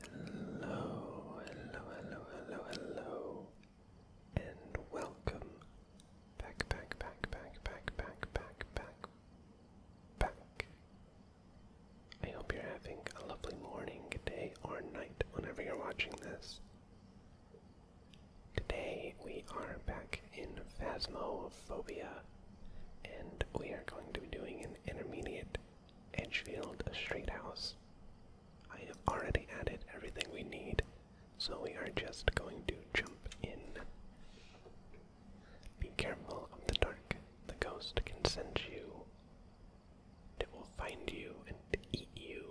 Hello, hello, hello, hello, hello, and welcome back, back, back, back, back, back, back, back, back. I hope you're having a lovely morning, day, or night whenever you're watching this. Today we are back in Phasmophobia, and we are going to be doing an intermediate Edgefield Street House. I have already added everything we need, so we are just going to jump in. Be careful of the dark. The ghost can sense you. It will find you and eat you.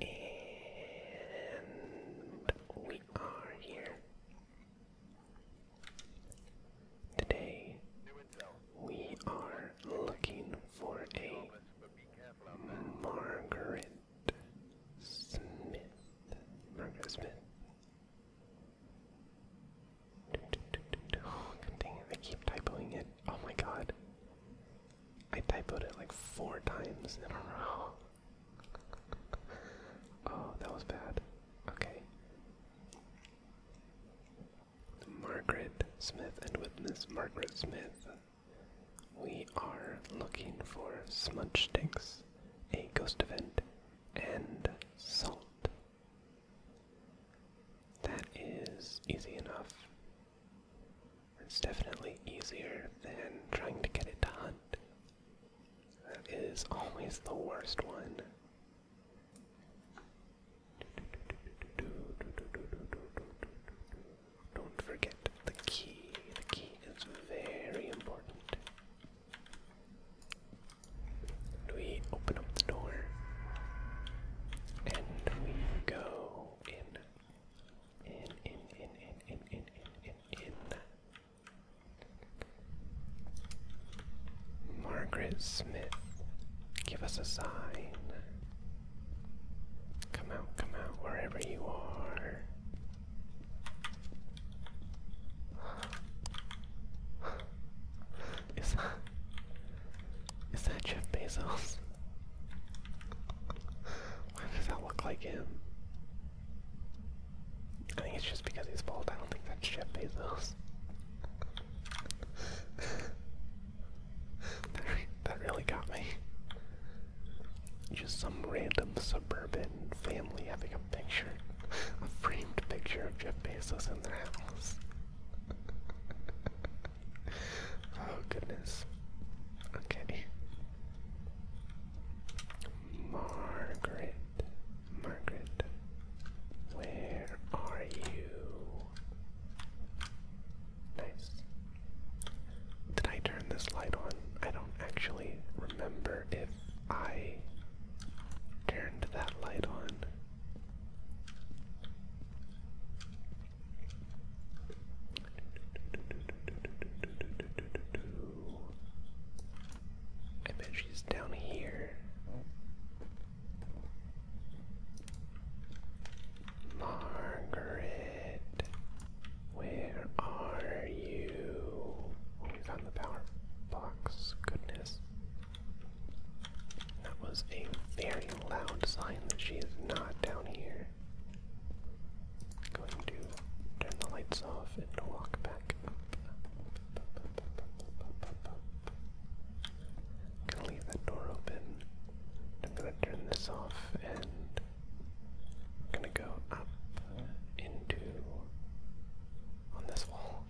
And we are here. Today we are looking for a Margaret Smith. Margaret Smith. Oh, dang it, I keep typing it. Oh my god. I typoed it like four times in a row. oh, that was bad. Okay. Margaret Smith, and witness Margaret Smith, we are looking for smudge sticks, a ghost event, and salt. That is easy enough. It's definitely easier than trying to get it to hunt. That is always the worst one. Don't forget the key. The key is very important. We open up the door and we go in in, in, in, in, in, in, in, in, Margaret Smith, give us a sign. Come out, come out, wherever you are. Is is that Jeff Bezos? Why does that look like him? I think it's just because he's bald. I don't think that's Jeff Bezos. that, that really got me. Just some random suburban family having a picture, a framed picture of Jeff Bezos in their house oh goodness. Okay. Margaret, Margaret, where are you? Nice. Did I turn this light on? I don't actually remember if I turned that light on. I bet she's down here. Margaret, where are you? Oh, we found the power box. Goodness. That was a very loud sign that she is not down here. Going to turn the lights off and walk back up. I'm gonna leave that door open. I'm gonna turn this off and I'm gonna go up into on this wall.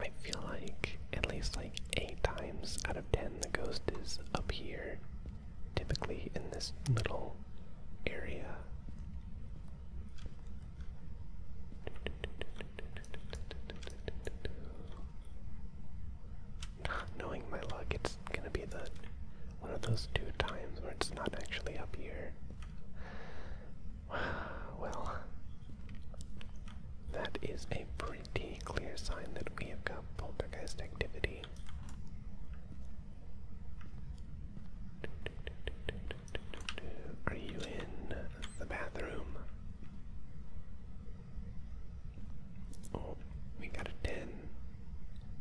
I feel like at least like eight times out of ten the ghost is up here, typically in this little area. Not knowing my luck, it's gonna be the one of those two times where it's not actually up here. Well, that is a pretty clear sign that we have got poltergeist activity. Are you in the bathroom? Oh, we got a 10.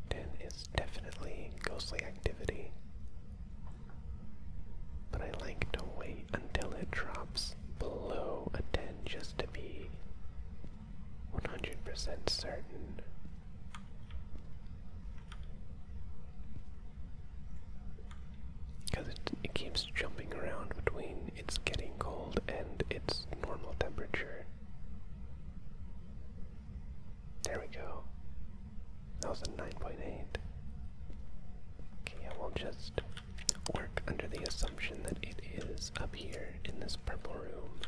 10 is definitely ghostly activity. But I like to wait until it drops below a 10 just to be 100% certain. Because it, it keeps jumping around between it's getting cold and its normal temperature. There we go. That was a 9.8. Okay, I will just work under the assumption that it is up here in this purple room.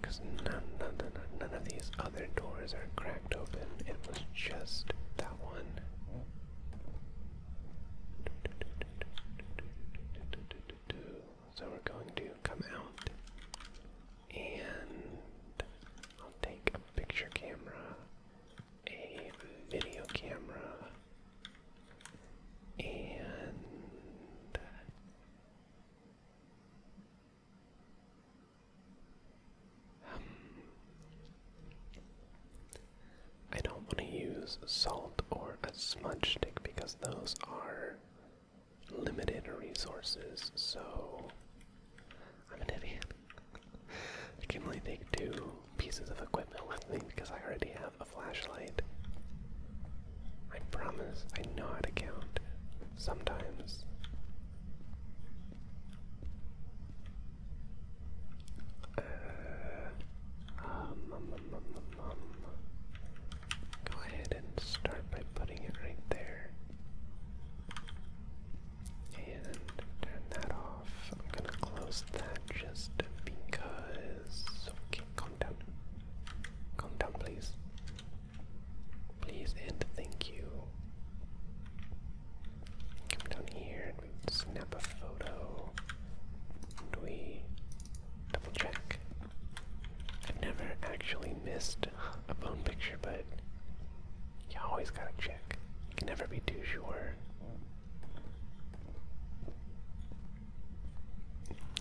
Because none, none, none, none of these other doors are cracked open. It was just that one. So we're going to come out and I'll take a picture camera a video camera and um, I don't want to use salt or a smudge stick because those are limited resources, so I'm an idiot. I can only take two pieces of equipment with me because I already have a flashlight. I promise I know how to count. Sometimes. Uh, um, um, um, um, um. um. Go ahead and start by putting it right there. And turn that off. I'm gonna close that just because. Okay, calm down. Calm down, please. Please and thank you. Come down here and we snap a photo. And we double check. I've never actually missed a bone picture, but you always gotta check. You can never be too sure.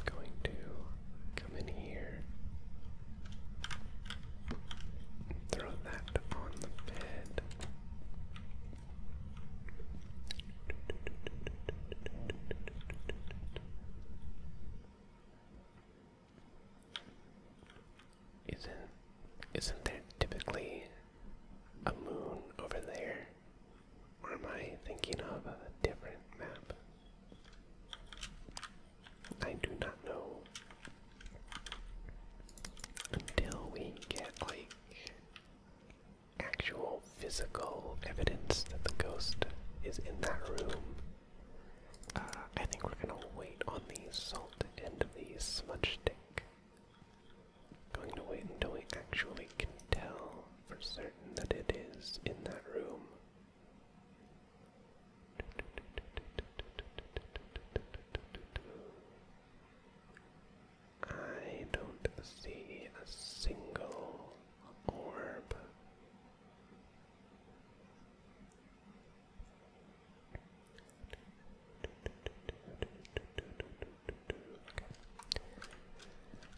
Going to come in here. Throw that on the bed. Isn't isn't there typically a moon over there? Or am I thinking of a different map? I do not know until we get like actual physical evidence that the ghost is in that room. Uh, I think we're gonna wait on the salt end of the smudge stick I'm going to wait until we actually can tell for certain that it is in that room. I don't see a single orb.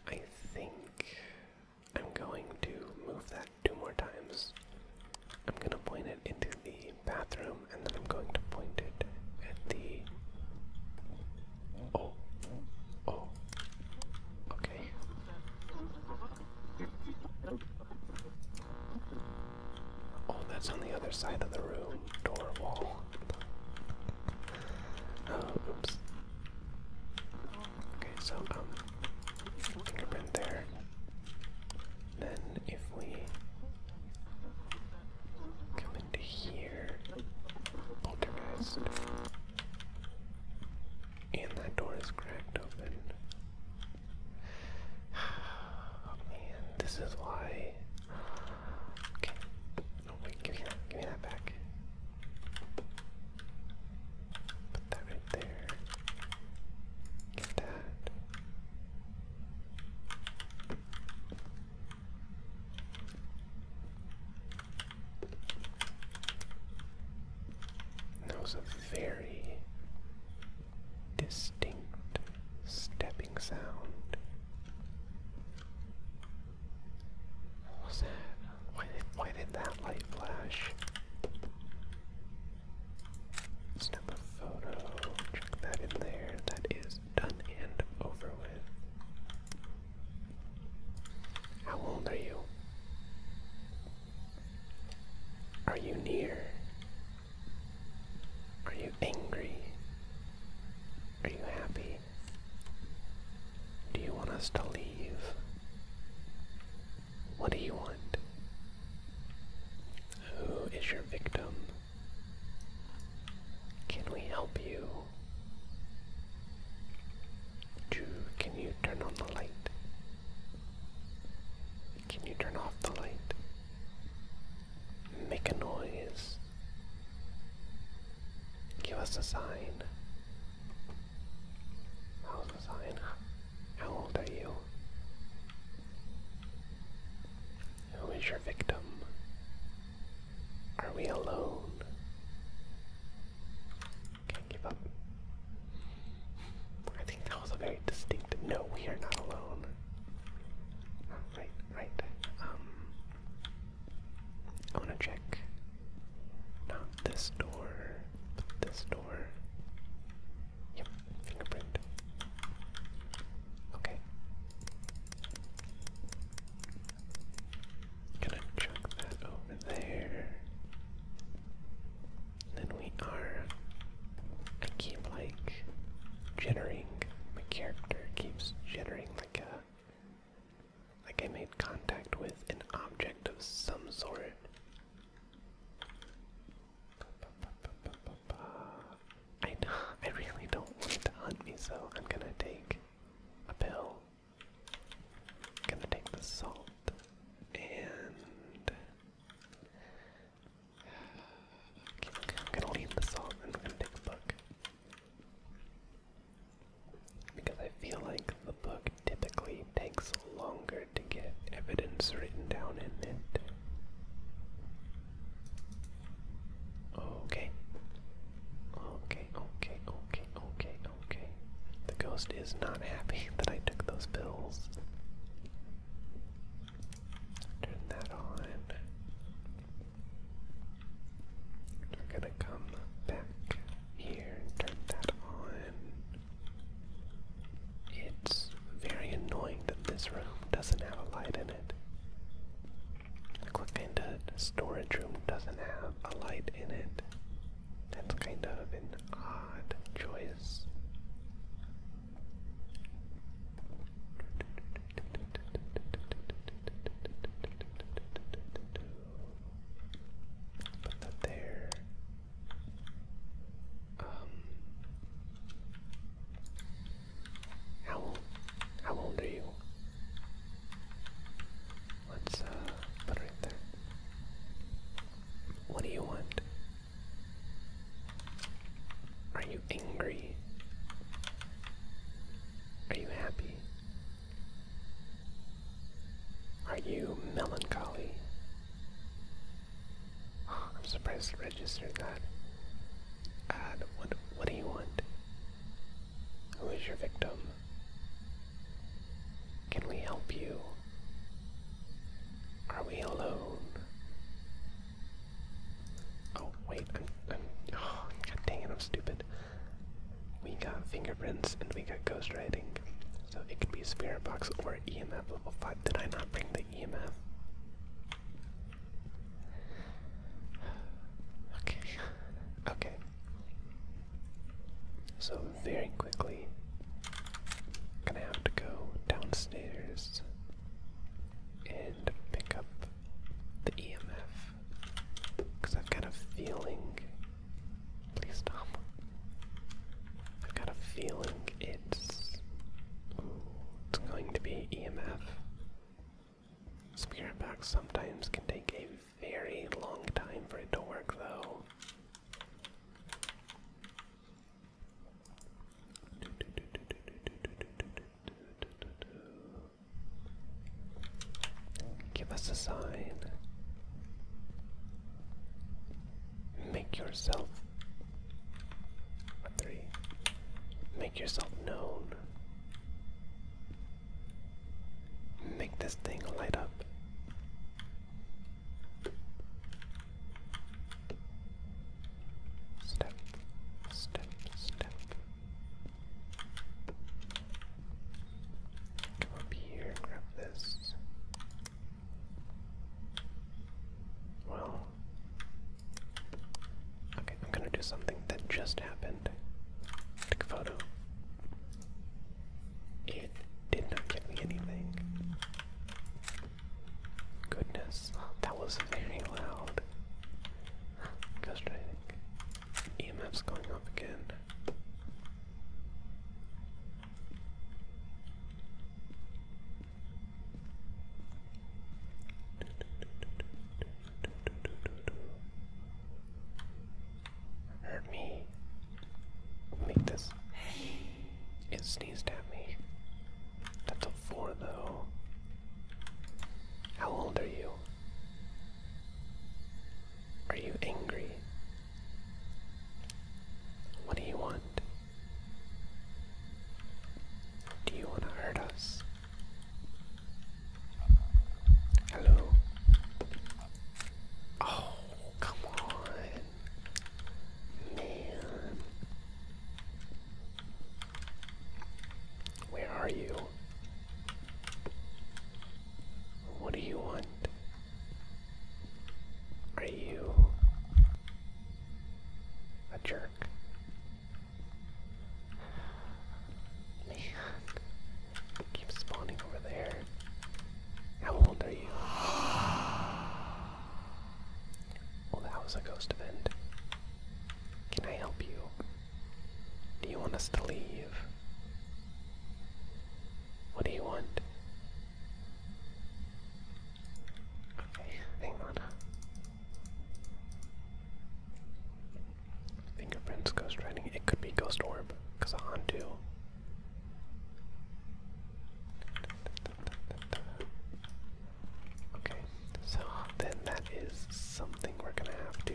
I think I'm going to move that two more times. I'm going to point it into the bathroom and then I'm going to point it at the. Oh. Oh. Okay. Oh, that's on the other side of the room. Door wall. Oh, oops. Okay, so, um, fingerprint there. Then, if we come into here, poltergeist. And that door is cracked open. Oh, man, this is why Okay. No, oh, wait, give me that. Give me that back. Put that right there. Get that. That was a very distinct step sound. why did that light flash? Snap a photo, check that in there. That is done and over with. How old are you? Are you near are you angry? Are you happy? Do you want us to leave? What do you want? Who is your victim? Can we help you? can you turn on the light? Can you turn off the light? Make a noise. Give us a sign. How's a sign? How old are you? Who is your victim? Are we alone? Can't give up. I think that was a very distinct no, we are not alone. All right. Right. Um, I want to check. Not this door, this door. Yep, fingerprint. Okay. Gonna chuck that over there. Then we are. I keep like generating. My character keeps jittering like a like I made contact with an object of some sort. I I really don't want it to hunt me, so I'm gonna take a pill. gonna take the salt and I'm gonna leave this off and I'm gonna take a book. Because I feel like the book typically takes longer to get evidence written down in it. Okay. Okay, okay, okay, okay, okay. The ghost is not happy that I took those pills. Turn that on. We're gonna come back here and turn that on. It's very annoying that this room doesn't have a light in it. The click storage room doesn't have a light in it. That's kind of an odd choice. Put that there. Um, how how old are you? Let's uh, put it right there. What do you want? Are you you angry? Are you happy? Are you melancholy? I'm surprised it registered that. Uh, what, what do you want? Who is your victim? Can we help you? Are we alone? Oh wait, I'm, oh, God dang it, I'm stupid. We got fingerprints and we got ghostwriting, so it could be a spirit box or EMF level five. Did I not bring the EMF? Okay, okay. So very quickly, gonna have to go downstairs and pick up the EMF because I've got a feeling. Please stop. I've got a feeling it's. it's going to be EMF. Spirit box sometimes can take a very long time for it to work, though. Give us a sign. Make yourself. Three. Make yourself known. Make this thing light up. Step, step, step. Come up here grab this. Well, okay, I'm gonna do something that just happened. Take a photo. It did not give me anything. Goodness, that was very loud. EMF's going up again. Hurt me. Make this. It sneezed at me. That's a four though. How old are you? Are you angry? What do you want? Do you want to hurt us? Hello? Oh, come on. Man. Where are you? What do you want? Are you a jerk? Man, keep spawning over there. How old are you? Well, that was a ghost event. Can I help you? Do you want us to leave? What do you want? Okay, hang on. Fingerprints, ghost riding. It could be ghost orb, because of Hantu. Okay, so then that is something we're gonna have to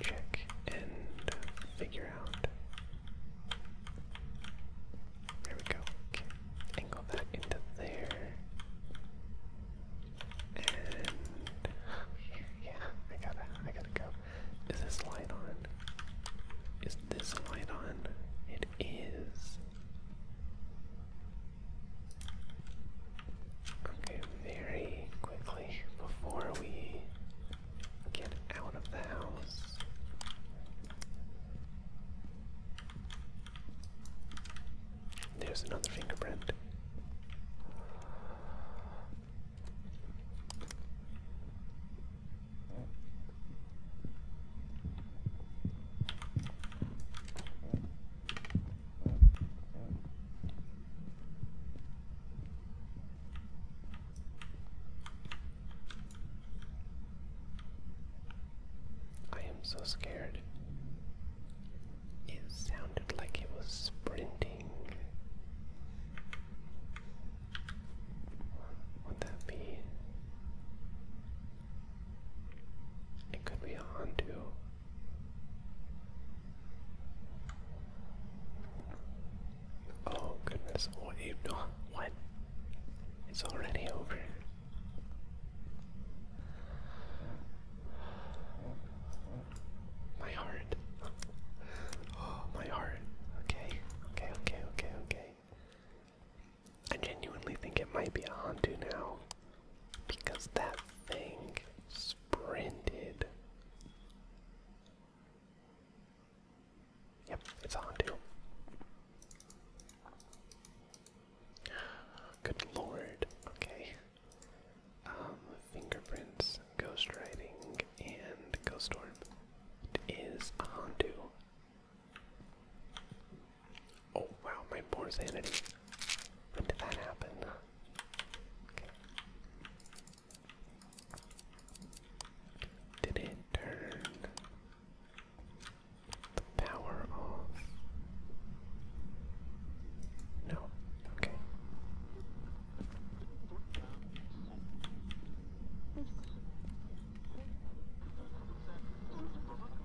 check and figure out. There we go. Okay, angle that into there. And yeah, I gotta, I gotta go. Is this light on? Is this light on? It is. Okay, very quickly before we get out of the house. There's another fingerprint. I am so scared. It sounded like it was sprinting. Would that be it could be a Hondu. Oh goodness, what oh, you what? It's already over. My heart. Oh, my heart. Okay, okay, okay, okay, okay. I genuinely think it might be a Hantu now because that thing sprinted. Yep, it's a Hantu. Good lord. Okay. Um, fingerprints, ghost writing, and ghost orb. It is a Hantu. Oh wow, my poor sanity. When did that happen? Did it turn the power off? No. Okay.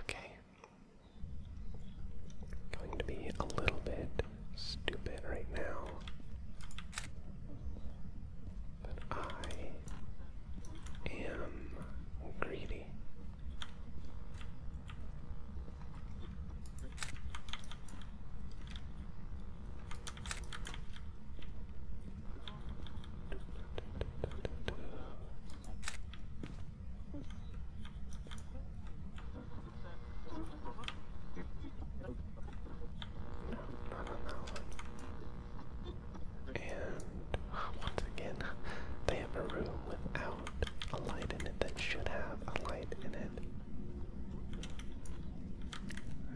Okay. Going to be a little bit stupid right now. But I am greedy. And once again, they have a room without a light in it that should have a light in it.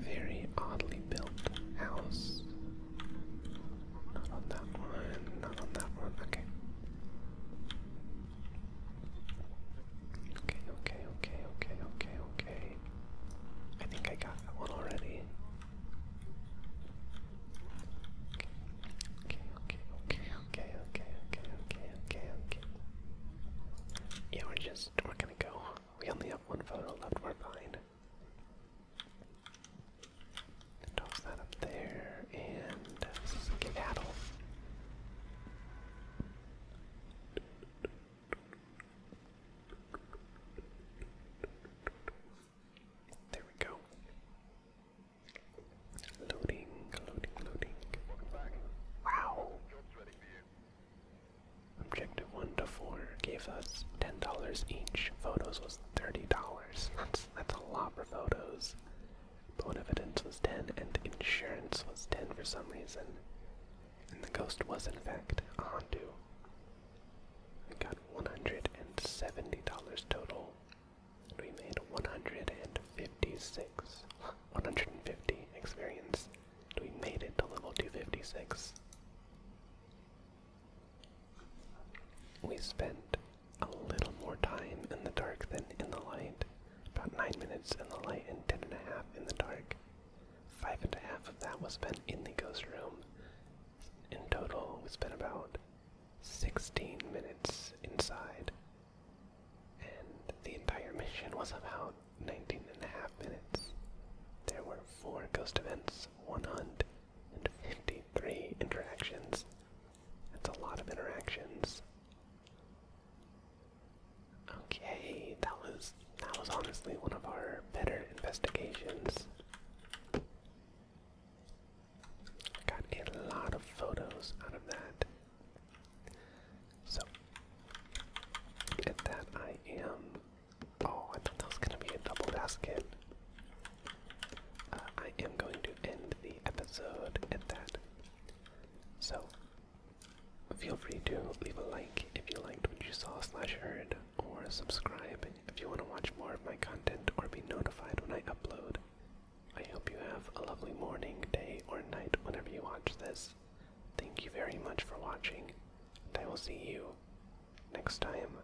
Very oddly built house. Not on that one, not on that one, okay. Okay, okay, okay, okay, okay, I think I got that one already. Okay, okay, okay, okay, okay, okay, okay, okay, Yeah, we're just, we're gonna go. We only have one photo left, we're fine toss that up there, and this is a There we go. Loading, loading, loading. Wow. Objective 1 to 4 gave us $10 each. Photos was $30. That's that's a lot for photos. Bone evidence was ten, and insurance was ten for some reason. And the ghost was in fact a Hondu. We got one hundred and seventy dollars total. we made one hundred and fifty-six, one hundred and fifty experience. we made it to level two fifty-six. We spent a little more time in the dark than in the light. About nine minutes in the light and ten and a half in the dark. Five and a half of that was spent in the ghost room. In total, we spent about 16 minutes inside. And the entire mission was about 19 and a half minutes. There were four ghost events, one hunt, and 53 interactions. That's a lot of interactions. Okay, that was that was honestly one of our better investigations. Got a lot of photos out of that. So at that I am oh, I thought that was gonna be a double basket. Uh, I am going to end the episode at that. So, feel free to leave a like if you liked what you saw slash heard, or subscribe if you want to watch more of my content or be notified when I upload. I hope you have a lovely morning, day, or night whenever you watch this. Thank you very much for watching, and I will see you next time.